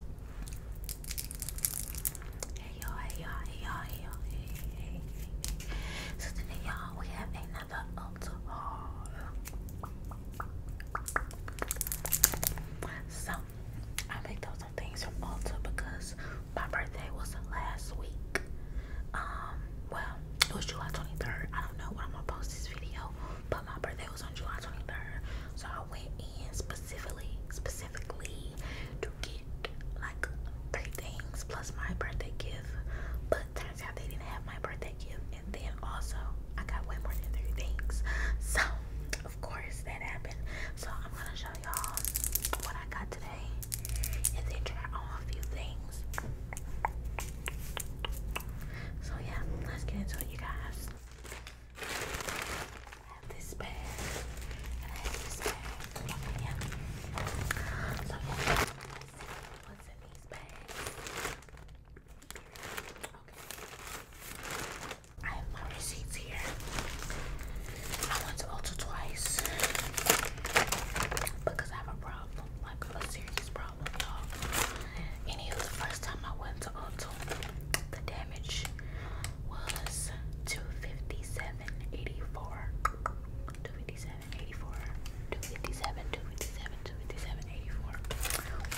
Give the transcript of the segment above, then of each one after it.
Hey y'all, hey y'all, hey y'all, hey y'all, hey, hey, hey, So today y'all, we have another Ulta haul. So, I picked up things from Ulta because my birthday was last week. Um, well, it was July 23rd. I don't know when I'm gonna post this video, but my birthday was on July 23rd. So I went and specifically, specifically to get like three things plus my birthday gift. But turns out they didn't have my birthday gift, and then also I got way more than three things. So of course that happened. So I'm gonna show y'all what I got today, and then try on a few things. So yeah, let's get into it, guys. I have this bag, and I have this bag. yeah. So yeah, let's see what's in these bags. Okay. I have my receipts here. I went to Ulta twice because I have a problem, like a serious problem, y'all. Anywho, the first time I went to Ulta, the day was 257.84. 257.84. 257, 257, 257.84.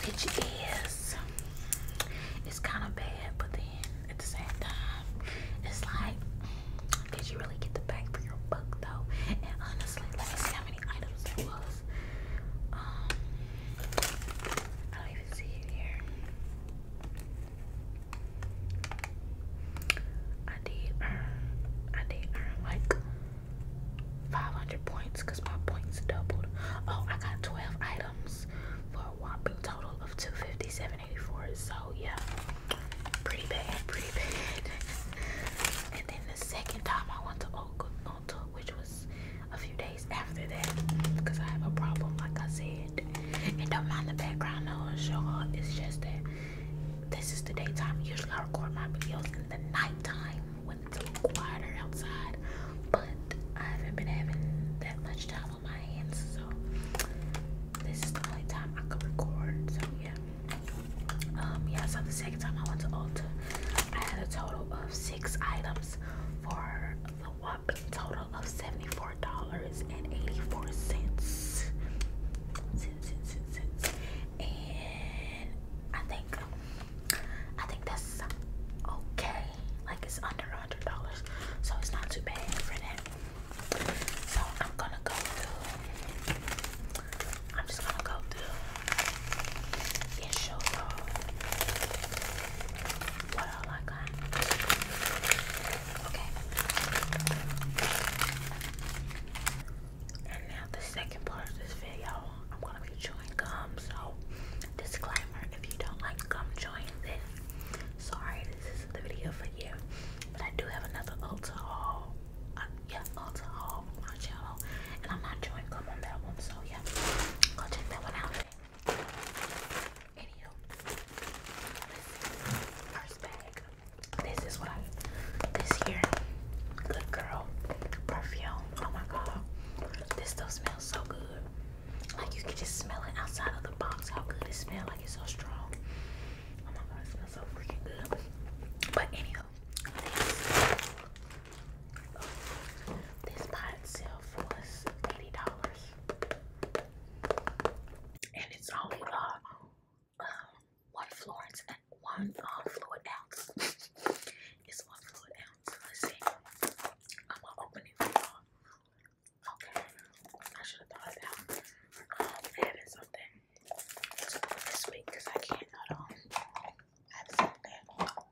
Which is, it's kind of bad, but then at the same time, it's like, did you really get the back for your buck though? And honestly, let me see how many items there was. Um, I do even see it here. I did earn, I did earn like 500 points because my points doubled. Oh, I got 12 items for a whopping total of 257.84. So yeah, pretty bad, pretty bad. and then the second time I went to Oklahoma, which was a few days after that because I have a problem, like I said. And don't mind the background noise, y'all. It's just that this is the daytime. Usually I record my videos in the nighttime when it's a little quieter outside, but I haven't been having that much time on my hands, so this is the only time I could record. So yeah. Um, yeah, so the second time I went to Ulta, I had a total of six items for the whopping total of $74.84. And I think I think that's okay. Like it's under a hundred dollars. So it's not too bad for that. So I'm gonna go through I'm just gonna go through and show I And now the second part of this video, I'm gonna be chewing gum. So, disclaimer: if you don't like gum chewing, then sorry, this is the video for you. But I do have another Ulta haul. Uh, yeah, Ulta haul on and I'm not chewing gum on that one. So yeah, go check that one out. Anywho, first bag. This is what I this year. Good girl perfume. Oh my god, this stuff smells so good. Like you can just smell it outside of the box. How good it smells. Like it's so strong. Oh my god, it smells so freaking good. But anyhow, this, this itself was eighty dollars and it's only uh, um, one uh, fluid ounce. it's one fluid ounce. Let's see. I'm gonna open it for y'all. Okay, I should have thought about um, having something this week because I can't. Um, Hold on. I something. Oh, I'm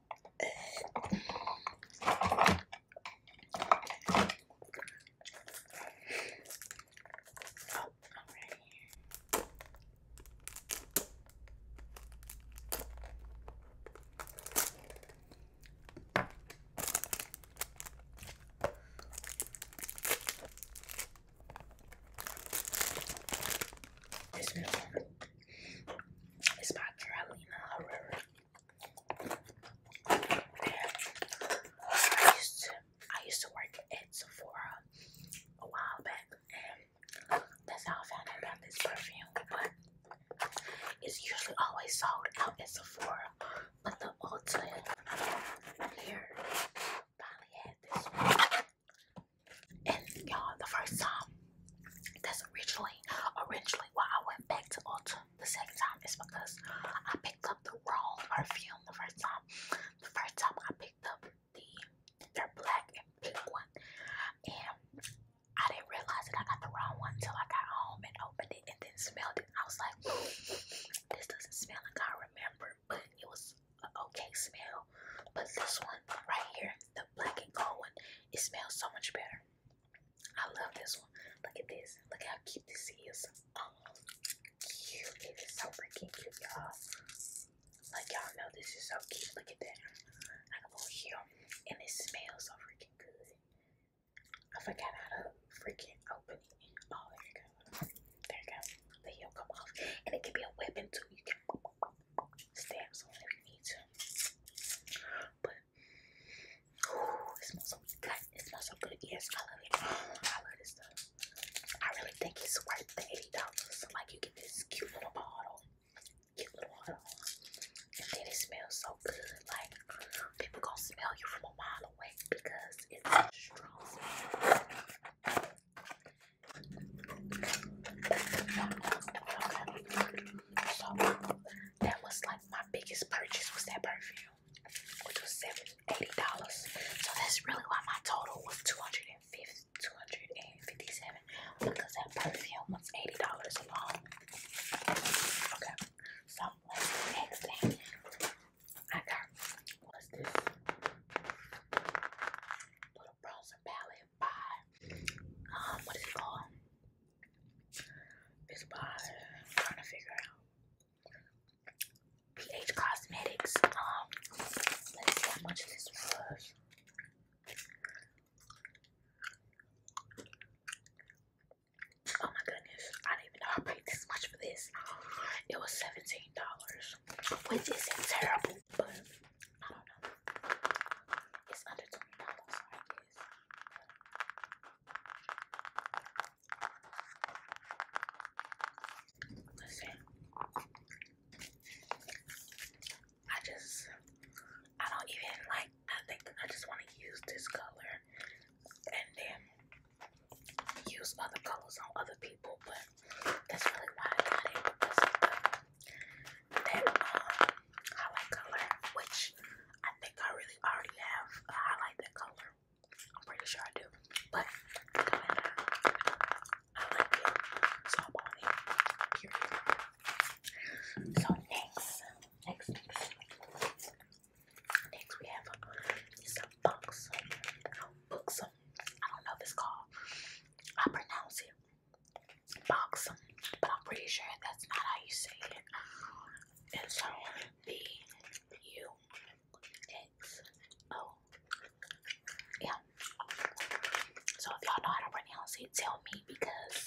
This is by Carolina Herrera. I used to work at Sephora a while back and that's how I found out about this perfume. But it's usually always sold out at Sephora. But the Ulta here finally had this And y'all the first time that's originally originally why I went back to Ulta the second time is because I picked up the wrong perfume the first time. The first time I picked up the their black and pink one, and I didn't realize that I got the wrong one until I got home and opened it and then smelled it. I was like, this doesn't smell like I remember, but it was an okay smell. But this one right here, the black and gold one, it smells so much better. I love this one. Look at this. Look how cute this is. Oh, cute. It is so freaking cute, y'all. Like, y'all know this is so cute. Look at that. I a little heel, And it smells so freaking good. I forgot how to freaking open it. Oh, there you go. There you go. The heel come off. And it can be a weapon, too. You can stab someone if you need to. Ooh, it smells so good. It smells so good. Yes, I love it. I love this stuff. I really think it's worth the eighty dollars. Like you get this cute little bottle, cute little bottle, and then it smells so good. Like people gonna smell you from a mile away because it's strong. So that was like my biggest purchase was that perfume, which was seven eighty dollars. So that's really why my total was two hundred and fifty two hundred and fifty seven because that perfume was eighty dollars alone. Okay, so next thing I got? What's this little bronzer palette by um what is it called? is by I'm trying to figure out PH Cosmetics. Um, let's see how much this was. Oh my goodness, I didn't even know I paid this much for this. It was seventeen dollars, which isn't terrible, but I don't know. It's under twenty dollars, I guess. Listen, I just, I don't even like, I think I just want to use this color and then use other colors on other people, but that's really why I got it um, that, um, I like color, which I think I really already have I like that color. I'm pretty sure I do, but go ahead. I like it, so I'm on it. Period. So next, next, next, next we have a, it's a box, books. I don't know if it's called. I pronounce it boxum, but I'm pretty sure that's not how you say it and so So if y'all know how to pronounce it, tell me because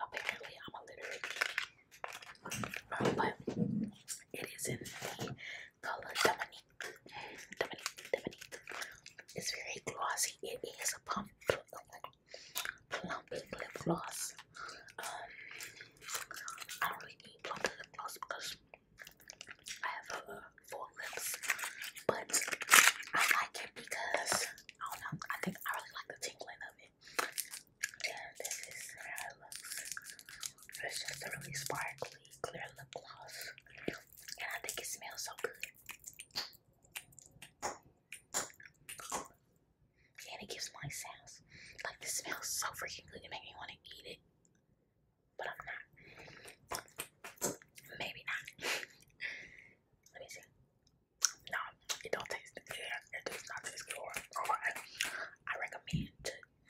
apparently I'm illiterate. but it is in the color Dominique. Dominique, Dominique. It's very glossy. It is a pump plump lip gloss. Um, I don't really need plump lip gloss because I have uh, full lips, but I like it because I don't know. I think I really like the tingling of it. And this is how it It's just a really sparkly, clear lip gloss, and I think it smells so good and it gives nice sounds. Like this smells so freaking good, it makes me want to eat it, but I'm not. Maybe not. Let me see. No, it don't taste good. it does not taste good. Alright, I recommend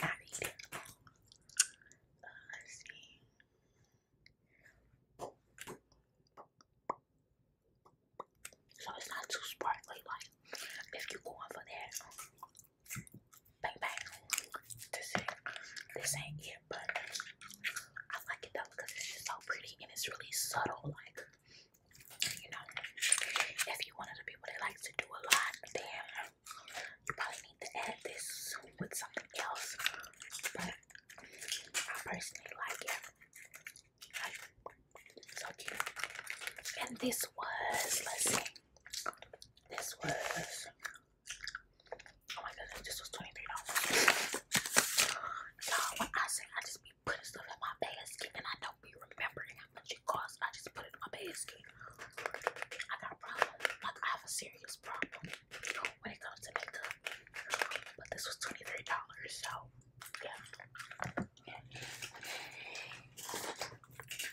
not eat it. Uh, let's see. So it's not too sparkly. Like if you going for that, bang bang. This ain't it, but I like it though because it's just so pretty and it's really subtle. Like you know, if you one of the people that likes to do a lot, then you probably need to add this with something else. But I personally like it. So cute. And this was, let's see, this was, oh my goodness, this was $23. dollars you when I say I just be putting stuff in my basket and I don't be remembering how much it costs, I just put it in my basket. I got a problem. I have a serious problem when it comes to makeup. But this was $23, so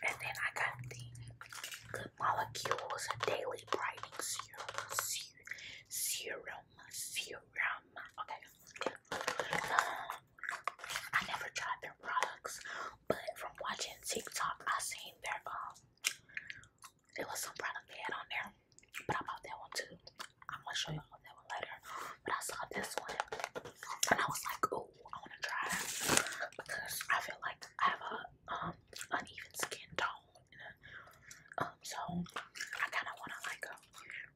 and then I got the Good Molecules Daily Brightening Serum. Serum. Serum. Okay. Um, I never tried their products, but from watching TikTok, I seen their, um, it was some product they had on there, but I bought that one too. I'm gonna show y'all that one later. But I saw this one and I was like, oh, I wanna try it because I feel like I have a um uneven skin tone. And a, um, so I kinda wanna like uh,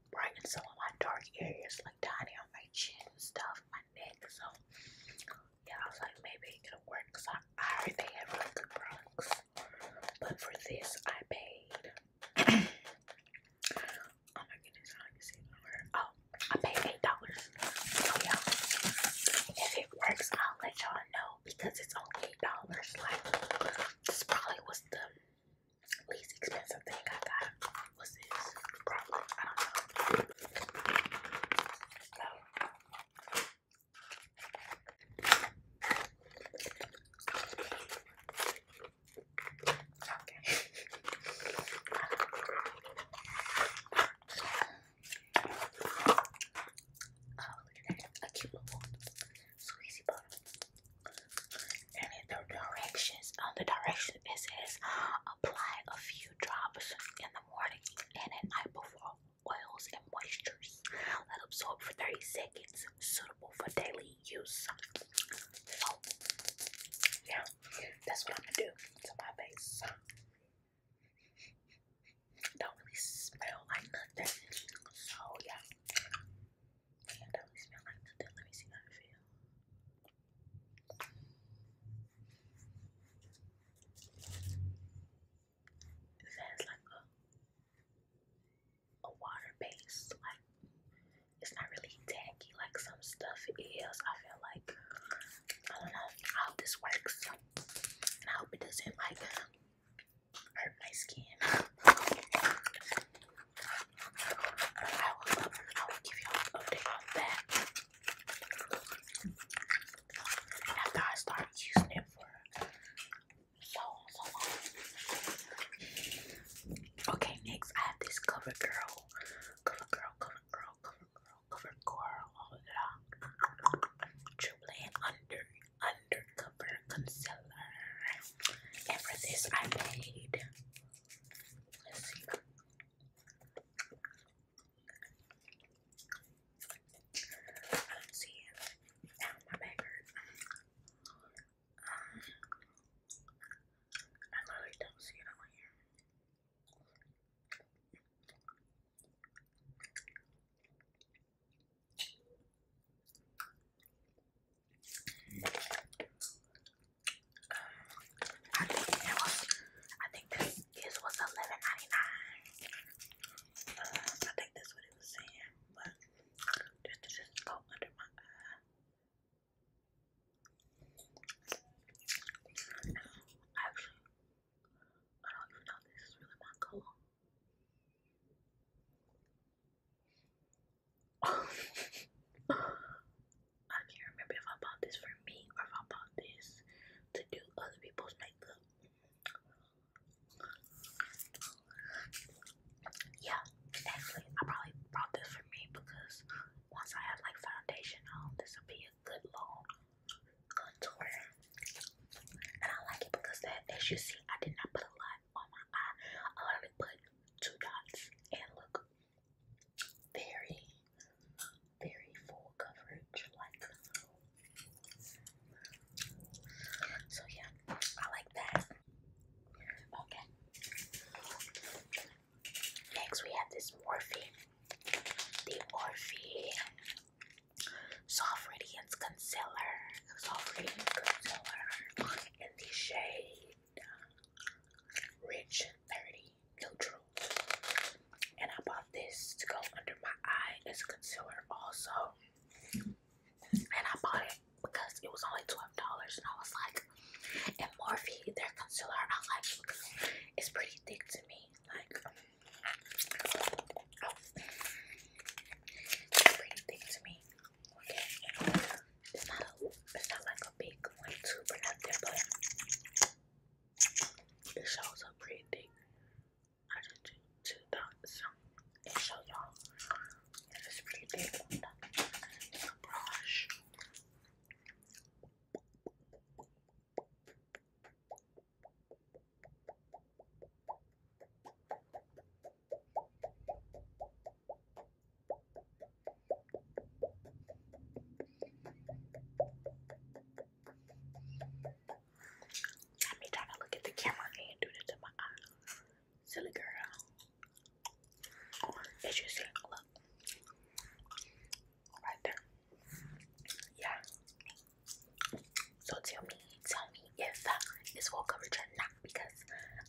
brighten some of my dark areas, like down here on my chin and stuff, my neck. So yeah, I was like, maybe it'll work because I, I already have really good products. But for this, I paid oh my goodness, I don't even see the number. Oh, I paid eight dollars. Oh yeah. If it works, I'll let y'all know because it's only eight dollars. Like this probably was the least expensive thing I got. Was this? I don't know. Okay. oh, look at that. A cute little squeezy bottle. And the directions, on uh, the direction it says apply a few drops in the morning and at night before oils and moistures. Let absorb for 30 seconds. Suitable for daily use Yeah, that's what I'm gonna do to my face. Don't really smell like nothing. So yeah. don't really smell like nothing. Let me see how it feels. This has like a a water base, like it's not really tacky like some stuff is. I feel like I don't know. I hope this works, and I hope it doesn't like hurt my skin. I will, I will give you an update on that after I start using it for so so long. Okay, next I have this cover girl. Cover girl, cover girl, cover girl, cover Triple under undercover concealer. And for this I paid um, I literally don't see it on here. I think it was. I think this this was eleven ninety nine. Uh, I think that's what it was saying, but just to just go under my Actually, I don't even know this is really my color. I can't remember if I bought this for me or if I bought this to do other people's makeup yeah, actually, I probably bought this for me because once I have like foundation on, this will be a good long contour. And I like it because that, as you see, I did not put a lot on my eye. I only put two dots and look very, very full coverage. Like, so yeah, I like that. Okay. Next, we have this Morphe. The Morphe Soft Radiance Concealer. Soft Radiance Concealer in the shade Rich 30 Neutral. And I bought this to go under my eye as a concealer also. And I bought it because it was only $12 and I was like, and Morphe, their concealer, I like because it's pretty thick to me. Like, oh, it's pretty thick to me. Okay. It's not, like a big one too, but not there, but it pretty thick. I just do two dots and show y'all. This pretty big. Let me try to look at the camera and do this to my eye. Silly girl. As you see, look. Right there. Yeah. So tell me, tell me if it's full coverage or not because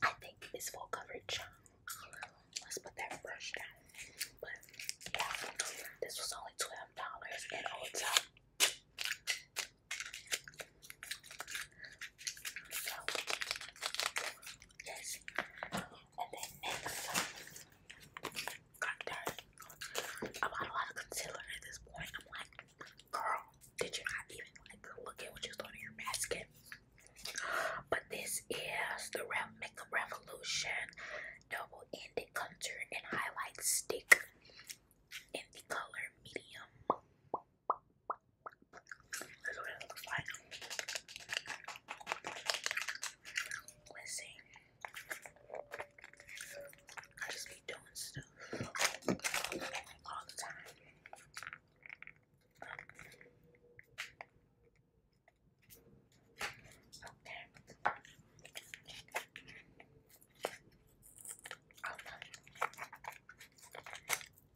I think it's full coverage. Let's put that brush down. But yeah, this was only $12 at Ulta yes. And then next, God darn, I a lot of concealer at this point. I'm like, girl, did you not even like look at what you are throw in your basket? But this is the Rev Makeup Revolution Double Ended Contour and Highlight Stick in the color medium. That's what it looks like. Let's see. I just be doing stuff all the time. Okay. Oh, no. Oh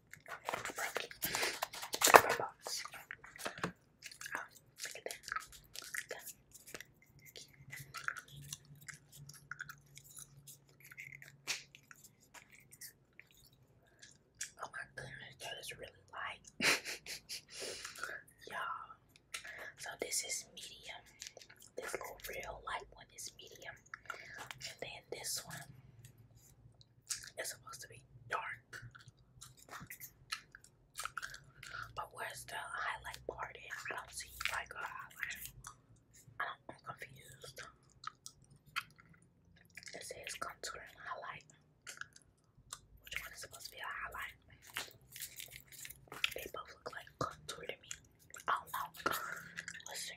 my goodness, that is really light. Y'all. So this is medium. This little real light one is medium. And then this one it's supposed to be dark. But where's the highlight part I don't see like a highlight. I am confused. It says contour highlight. Which one is supposed to be a highlight? They both look like contour me. I don't know. Let's see.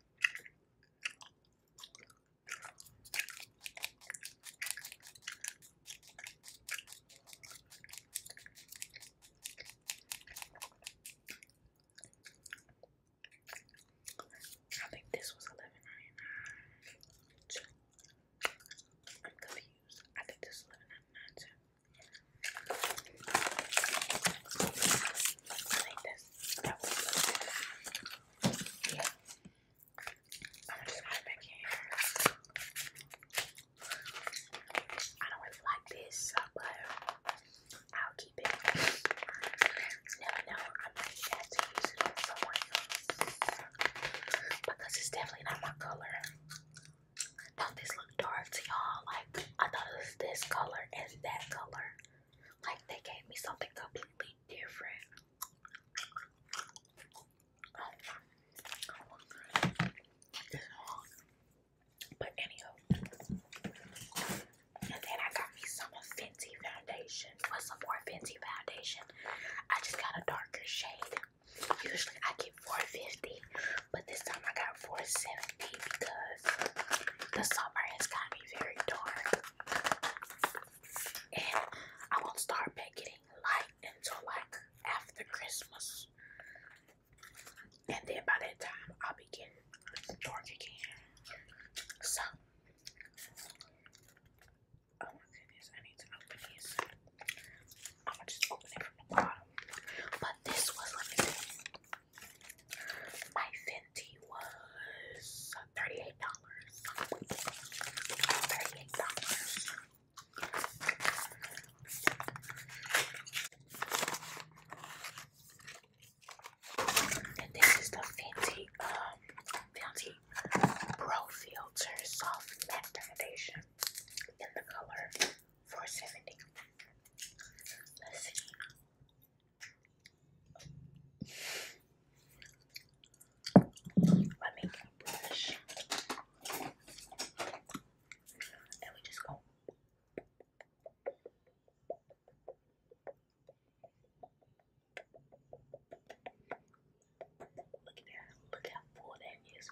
I think this was eleven ninety nine I'm confused. I think this is eleven ninety nine too. this i don't really like this, but I'll keep it. Never know. I might have to use it on someone Because it's definitely not my color. do this look dark to y'all? Like I thought this color and that color. Like they gave me something completely different. But anywho, and then I got me some Fenty foundation. What's some more Fenty foundation? I just got a darker shade. Usually I get 450, but this time I got 470 because the summer is gonna be very dark. And I won't start getting light until like after Christmas. And then by that time I'll be getting dark again. So Oh my goodness, I need to open these. I'm gonna just open it from the bottom. But this was, my Fenty was $38. $38. And this is the Fenty um Fenty Pro Filter Soft Matte Foundation in the color 470. Let's see my makeup brush, and we just go. Look at that! Look how full that is.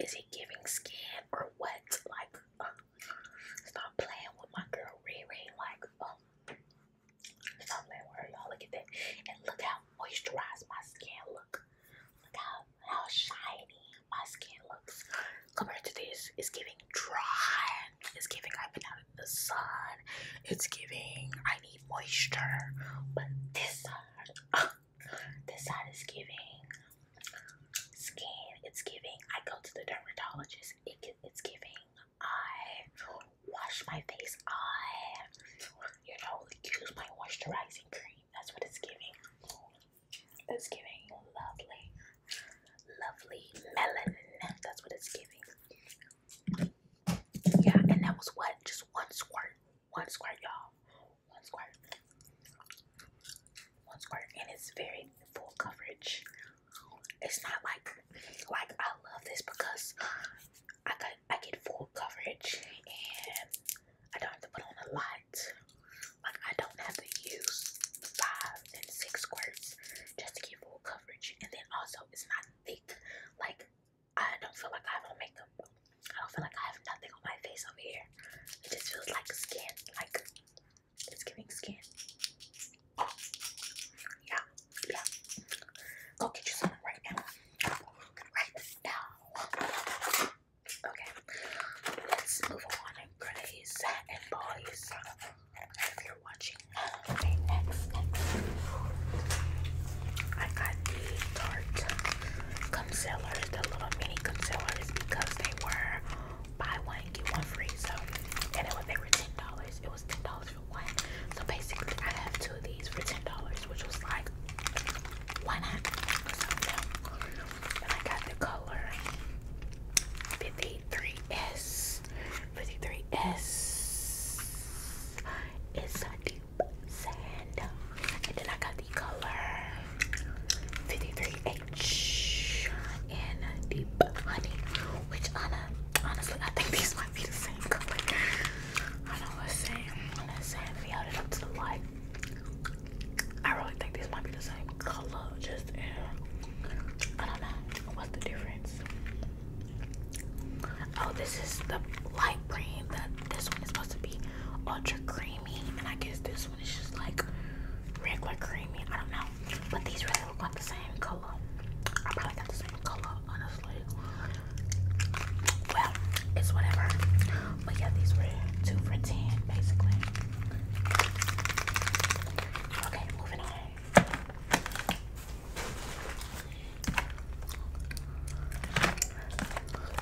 Is he giving skin or what? Like, uh, stop playing with my girl Riri. Like, um, stop playing with her, y'all. Look at that. And look how moisturized my skin look. Look how, how shiny my skin looks. Compared to this, it's giving dry. It's giving I've been out in the sun. It's giving I need moisture, but this side, this side is giving skin. It's giving. I go to the dermatologist. it's giving. I wash my face. I, you know, use my moisturizing cream. That's what it's giving. It's giving lovely, lovely melanin. That's what it's giving. Yeah, and that was what? Just one squirt. One squirt, y'all. One squirt. One squirt. And it's very full coverage. It's not like like I love this because I got I get full coverage and I don't have to put on a lot. Like I don't have to use five and six squirts just to get full coverage. And then also it's not thick like I don't feel like I have on makeup. I don't feel like I have nothing on my face over here. It just feels like skin, like it's giving skin. Yeah, yeah. Go get you some right now. Right now. Okay. Let's move on and and boys. If you're watching, Okay, next, next. I got the Tarte concealers, the little mini concealers, because they were buy one, get one free. So, and it was, they were $10. It was $10 for one. So basically, I have two of these for $10, which was like, why not? So, And I got the color 53S. 53S. It's a deep sand. And then I got the color 53H and deep honey, which honestly, I think these might be the same color. I know what's saying. Let's say if we held it up to the light. I really think these might be the same color, just in, uh, I don't know. What's the difference? Oh, this is the light cream. That this one is supposed to be ultra creamy, and I guess this one is just like regular creamy. I don't know, but these really look like the same color. I probably got the same color, honestly. Well, it's whatever. But yeah, these were two for ten, basically. Okay, moving on.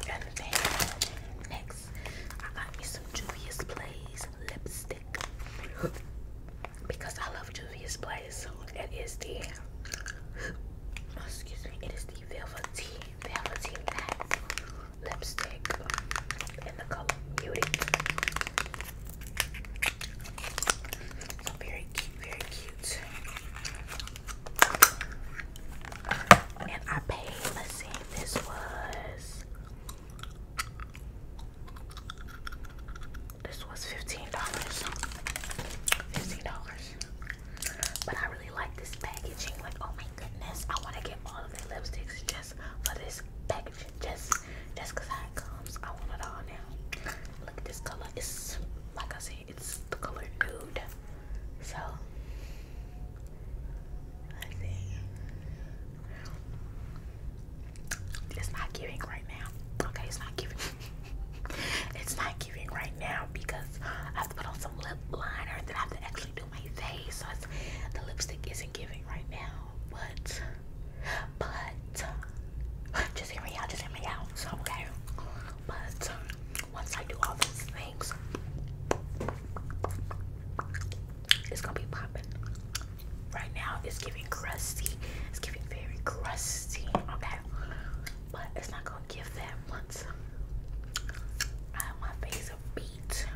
And then next, I got me some Juvia's Place lipstick because I love Juvia's Place. It is the oh, excuse me, it is the velvety, velvety matte lipstick in the color Beauty. So very cute, very cute cute. And I paid, let's this was this was $15. $15. But I really like this packaging. Like, oh my goodness, I want to get all of the lipsticks just for this packaging. Just just because how it comes. I want it all now. Look at this color. It's like I said, it's the color nude. So I think it's not giving right now. Okay, it's not giving. it's not giving right now because I have to put on some lip liner and then I have to actually do my face. So the lipstick isn't giving right now. But but just hear me out, just hear me out. So okay. But once I do all those things, it's gonna be popping. Right now, it's giving crusty. It's giving very crusty. Okay, but it's not gonna give that once I have my face a beat,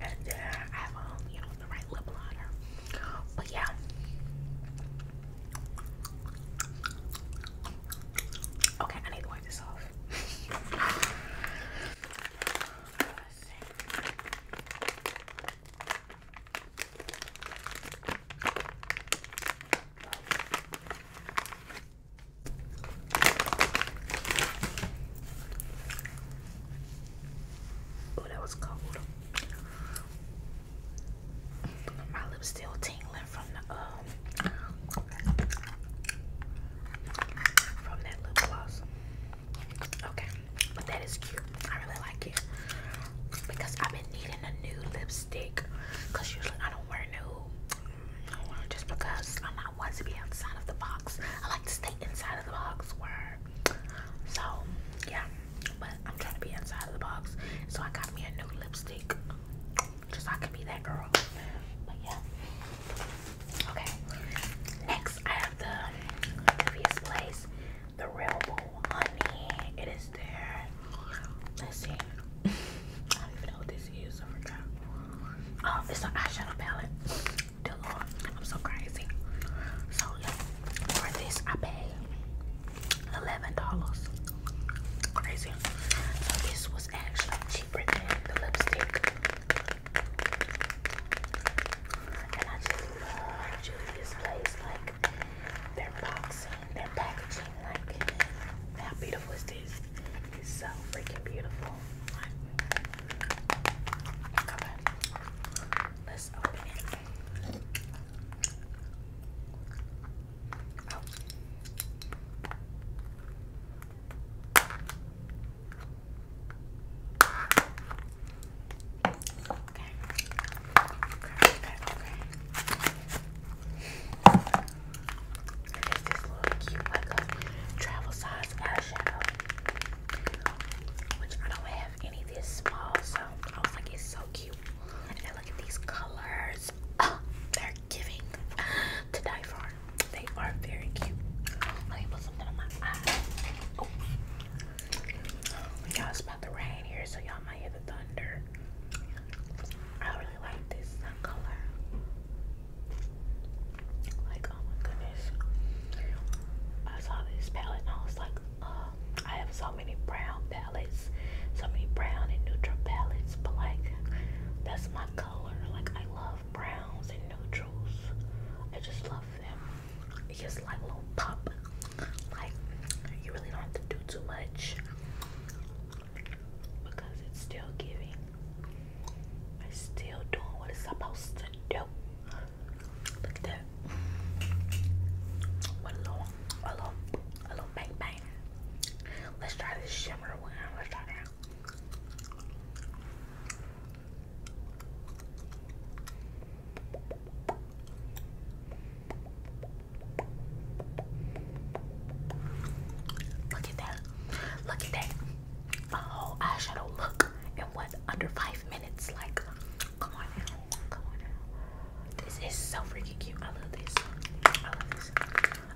and then I have um, you know, the right lip liner. But yeah. Okay, I need to wipe this off. Oh, that was cold. My lips still tingling from the um from that lip gloss. Okay, but that is cute. I really like it because I've been needing a new lipstick. Cause usually I don't wear new, just because I'm not one to be outside of the box. I like to stay inside of the box. Where so yeah, but I'm trying to be outside of the box. So I got me a new lipstick just so I be that girl. But yeah. Okay. Next I have the previous place, the real honey. It is there. Let's see. I don't even know what this is. Oh, it's an eyeshadow palette. Dear Lord, I'm so crazy. So for this I paid eleven dollars. Crazy. So this was actually cheaper than the lipstick. And I just love Julia's place, like their boxing, their packaging, like how beautiful this? It's so freaking beautiful. Like, okay. Let's open it. Oh. Okay. Okay, okay, okay. this little cute, travel size eyeshadow, which I don't have any this small, so I was like, it's so cute. And look at these colors. they're giving to die for. They are very cute. Let me put something on my eye. Oh. Y'all, it's about to rain here, so y'all might hear the thunder. I really like this color. Like, oh my goodness. I saw this palette and I was like, I have saw so many brown palettes, so many brown and neutral palettes, but like that's my color. Like I love browns and neutrals. I just love them. It just like a little pop. Like you really don't have to do too much because it's still giving. It's still doing what it's supposed to do. Look at that. a little, a little, a little bang bang. Let's try this shimmer one. Let's try that. Look at that. Look at that. A oh, whole eyeshadow look in what under five minutes. Like, come on Come on this is so freaking cute. I love this. I love this.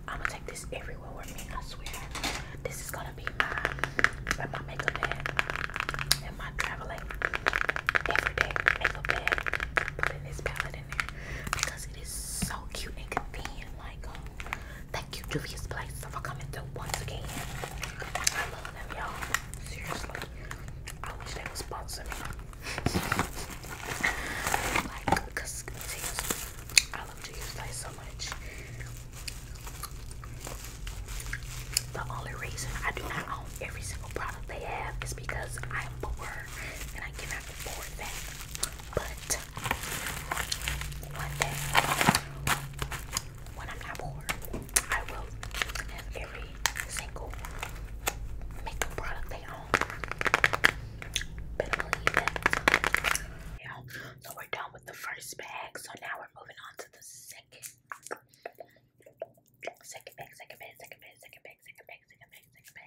I'm gonna take this everywhere with me. I swear. This is gonna be my my makeup bag and my traveling everyday makeup bag. Putting this palette in there because it is so cute and convenient. Like, um, thank you, Juvia's Place, for coming through once again. I love them, y'all. Seriously, I wish they would sponsor me. I love cheese like so much. The only reason I do not own every single product they have is because I am poor and I cannot afford that. But one day when I'm not poor, I will have every single makeup product so we're done with the first bag. So now we're moving on to the second. Second bag, second bag, second bag, second bag, second bag, second bag, second bag.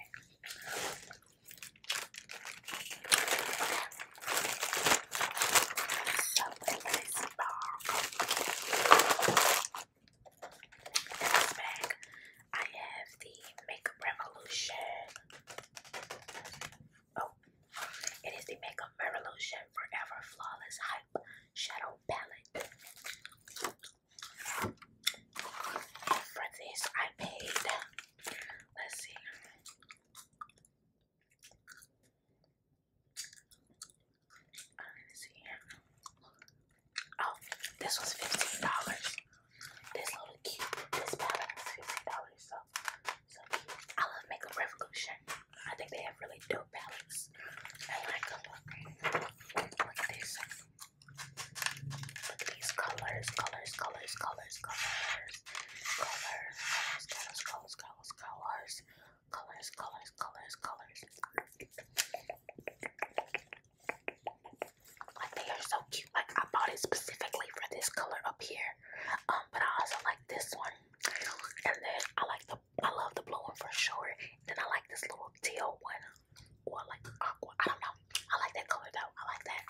So, this I have the Makeup Revolution. Oh, it is the Makeup Revolution Forever Flawless Hype Shadow Palette. For this, I paid. Let's see. I'm uh, see. Oh, this was fifteen dollars. This little cute, this palette was fifteen dollars. So, so cute. I love Makeup Revolution. I think they have really dope palettes. I like them. Look, look at this. Look at these colors, colors, colors, colors, colors, colors, colors, colors, colors, colors, colors, colors, colors, colors, colors. Like they are so cute. Like I bought it specifically for this color up here. Um, but I also like this one. And then I like the I love the blue one for sure. Then I like this little teal one. Or like aqua. I don't know. I like that color though. I like that.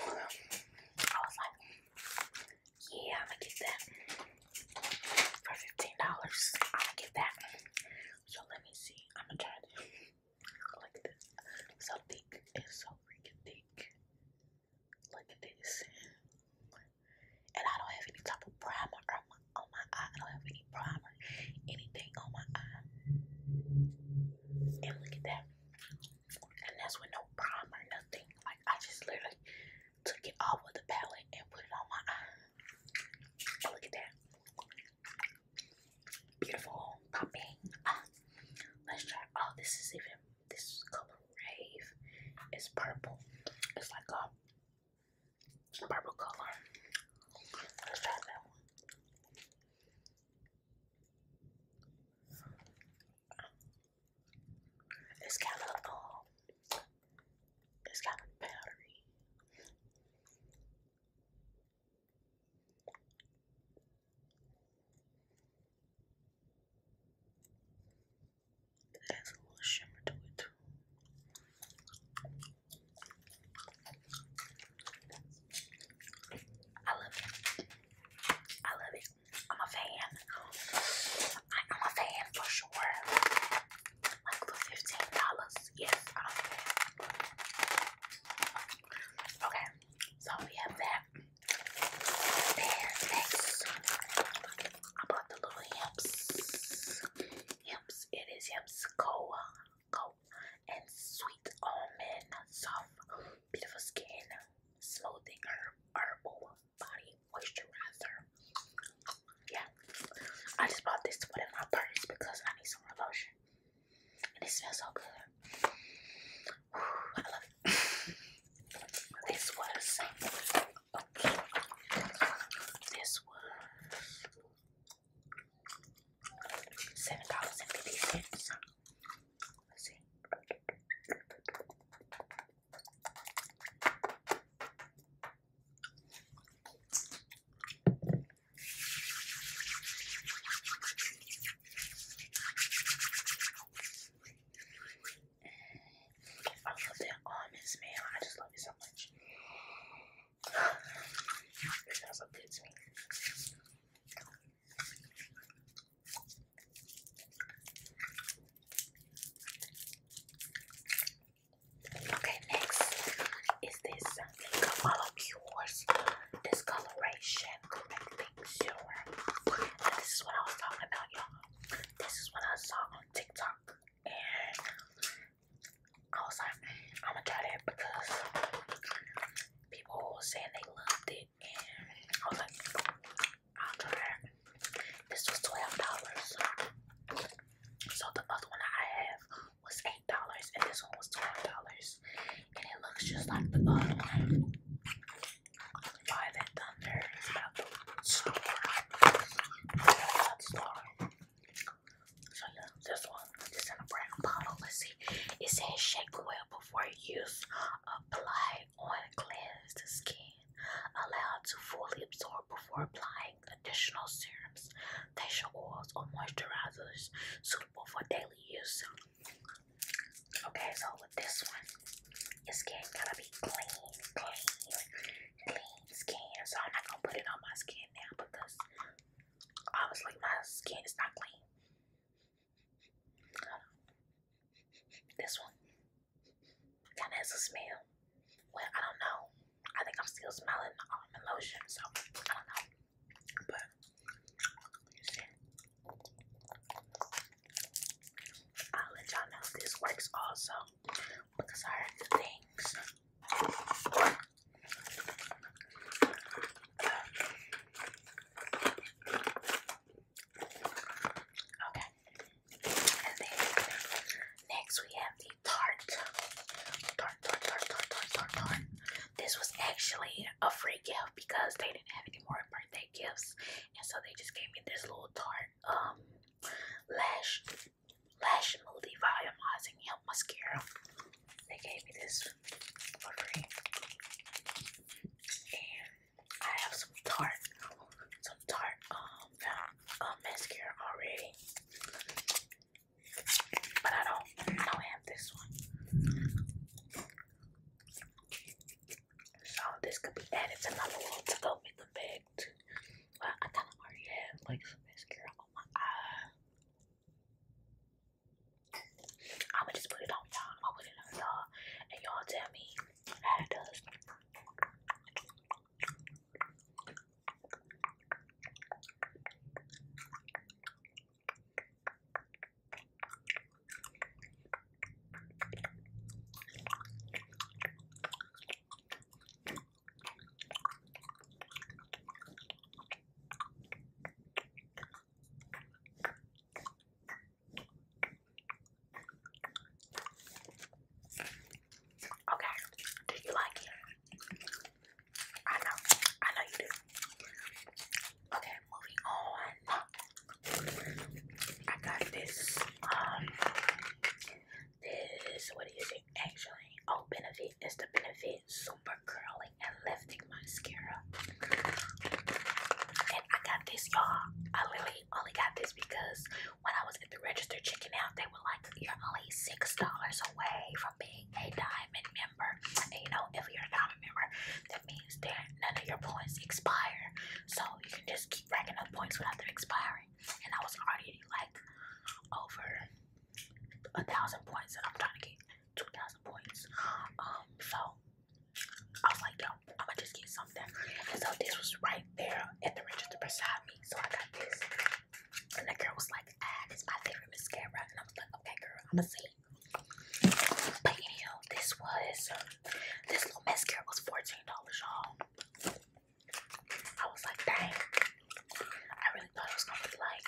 I was like, yeah, I'm gonna get that for fifteen dollars. I'm gonna get that. So let me see. I'm gonna try this like this. So thick and so freaking thick. Like this. And I don't have any type of primer on my, on my eye. I don't have any primer, anything on my eye. And look at that. And that's with no primer, nothing. Like I just literally took it off of the palette and put it on my eye. look at that beautiful popping. Ah, let's try. Oh, this is even this color rave. It's purple. It's like a purple color. Let's try that one. It's kind of um, it's kind of powdery. It a little shimmer to it. I love it. I love it. I'm a fan. I, I'm a fan for sure. Like for fifteen dollars, yes, okay, so we have that. And next, I bought the little yams. Yams, it is yams coa, coa, and sweet almond, soft, beautiful skin, smoothing herb, herbal body moisturizer. Yeah, I just bought this to put in my purse because I need some lotion. And it smells so good. I love this was This was seven dollars and fifty cents. Let's see. I love that honest man. I just love you so much. It smells so me. Okay, next is this something of all yours discoloration correcting serum. this is what I was talking about, y'all. This is what I saw on TikTok, and I was like, I'm gonna try that because people were saying they loved it, and I was like, I'll try it. This was twelve dollars. So the other one I have was eight dollars and this one was twelve dollars. And it looks just like the other one. Violet Thunder is about the store. About this is a brown bottle. Let's see. It says shake well before use. Apply on cleansed skin. Allowed to fully absorb before applying additional serum creams, facial oils, or moisturizers suitable for daily use. Okay, so with this one, your skin gotta be clean, clean, clean skin. So I'm not gonna put it on my skin now because obviously my skin is not clean. This one kind of has a smell. Well, I don't know. I think I'm still smelling the um, almond lotion, so I don't know. But I'll let y'all know this works also because I heard things. Okay, and then next we have the Tarte, this was actually a free gift because they didn't have any more birthday gifts, and so they just gave me this little tart um lash lash smoothie volumizing help mascara. They gave me this for free, and I have some tart, some tart um, um mascara already. But I don't don't have this one. So this could be added to my to go with the bag too. Well, I kinda already have like mascara on my eye. I'ma just put it on y'all. am put it on y'all and y'all tell me how it does. Okay, do you like it? I know, I know you do. Okay, moving on. I got this, um, this, what is it actually? Oh, Benefit, it's the Benefit Super Curling Lifting Mascara. And I got this, y'all. I literally only got this because when I was at the register checking out, they were like, you're only $6 away from being a 9 member. And you know, if you're a member, that means that none of your points expire. So you can just keep racking up points without them expiring. And I was already like over a thousand points and I'm trying to get two thousand points. Um so I was like, yo, I'ma just get something. so this was right there at the register beside me. So I got this. And the girl was like, ah, this is my favorite mascara. And I was like, okay, girl, I'ma see. But anyhow, this was this little mascara was $14, y'all. I was like, dang. I really thought it was gonna be like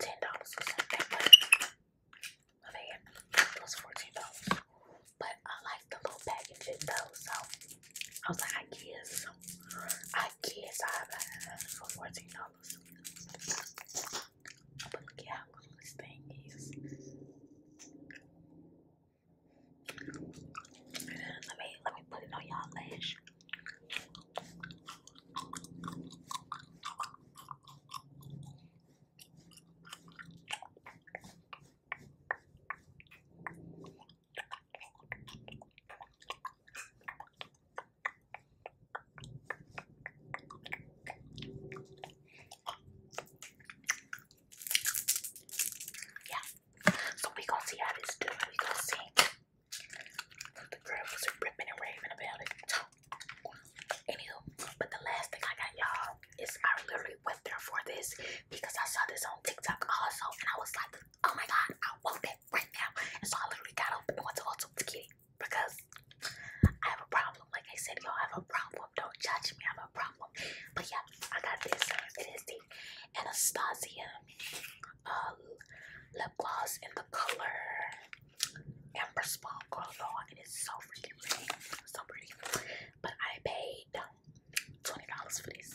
$10 or something, but it was $14. But I like the little packaging though, so I was like, I guess, I guess I have uh, $14. águas. Porque águas têm isso. Let me, let me put it on your lash. Yeah. So we gonna see how this doing. We gonna see. The girls are ripping and raving about it. Anywho, but the last thing I got y'all is I literally went there for this because I saw this on TikTok also and I was like, oh my god, I want it bed right now. And so I literally got open and went to go to Kitty because I have a problem. Like I said, y'all have a problem. Don't judge me. I have a problem. But yeah, I got this. It is the Anastasia uh, lip gloss in the color Amber Sparkle. Y'all, it is so freaking pretty. So pretty. But I paid um, $20 for this.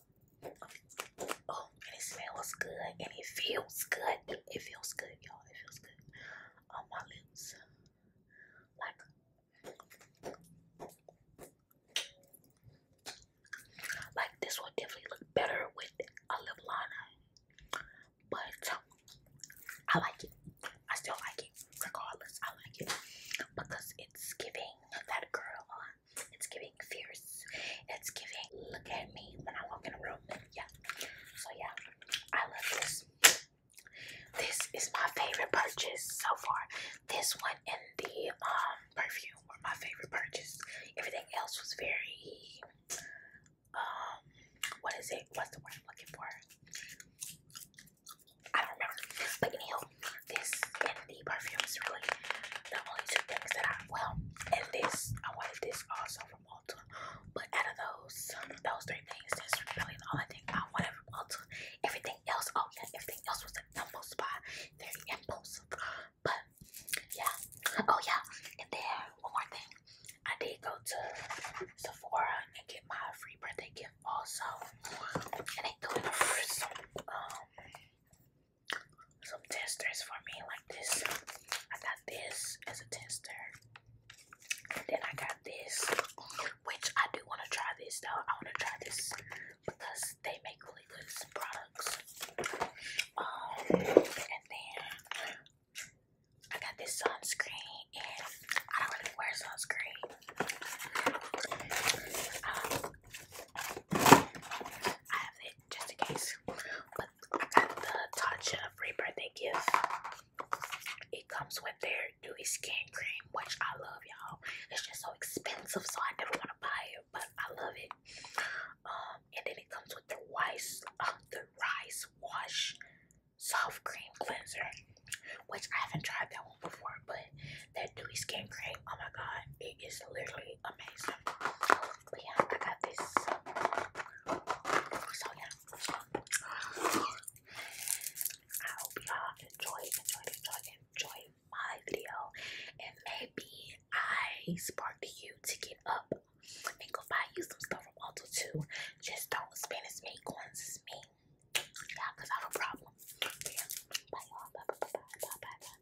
Oh, and it smells good and it feels good. It feels good, y'all. It feels good on my lips. Like this will definitely look better with a lip liner. But I like it. I still like it. Regardless, I like it. Because it's giving that girl on it's giving fierce. It's giving look at me when I walk in a room. Yeah. So yeah, I love this. This is my favorite purchase so far. This one and the um perfume were my favorite purchase. Everything else was very um what is it? What's the word I'm looking for? I don't remember. But anyhow, this the perfume is really the only two things that I well and this I wanted this also from Ulta. But out of those those three things, that's really the only thing I wanted from Ulta. Everything else, oh yeah, everything else was an impulse buy. Very impulsive. But yeah. Oh yeah. And then one more thing. I did go to Sephora and get my free birthday gift also. And they threw it a um some testers for me like this. I got this as a tester. And then I got this, which I do want to try this though. I want to try this because they make really good products. Um, and then I got this sunscreen, and I don't really wear sunscreen. Um, I have it just in case. But I got the Tatcha free birthday gift. It comes with their dewy skin cream, which I love, y'all. It's just so expensive, so I never want to buy it, but I love it. Um, and then it comes with the rice, uh, the rice wash soft cream cleanser, which I haven't tried that one before, but that dewy skin cream, oh my god, it is literally amazing. yeah, I got this. So yeah. I hope y'all enjoyed, enjoyed, enjoyed, enjoyed my video. And maybe I sparked you to get up and go buy you some stuff from Ulta Just don't spend as many coins as me. Yeah, I have a problem. Bye bye bye bye bye bye bye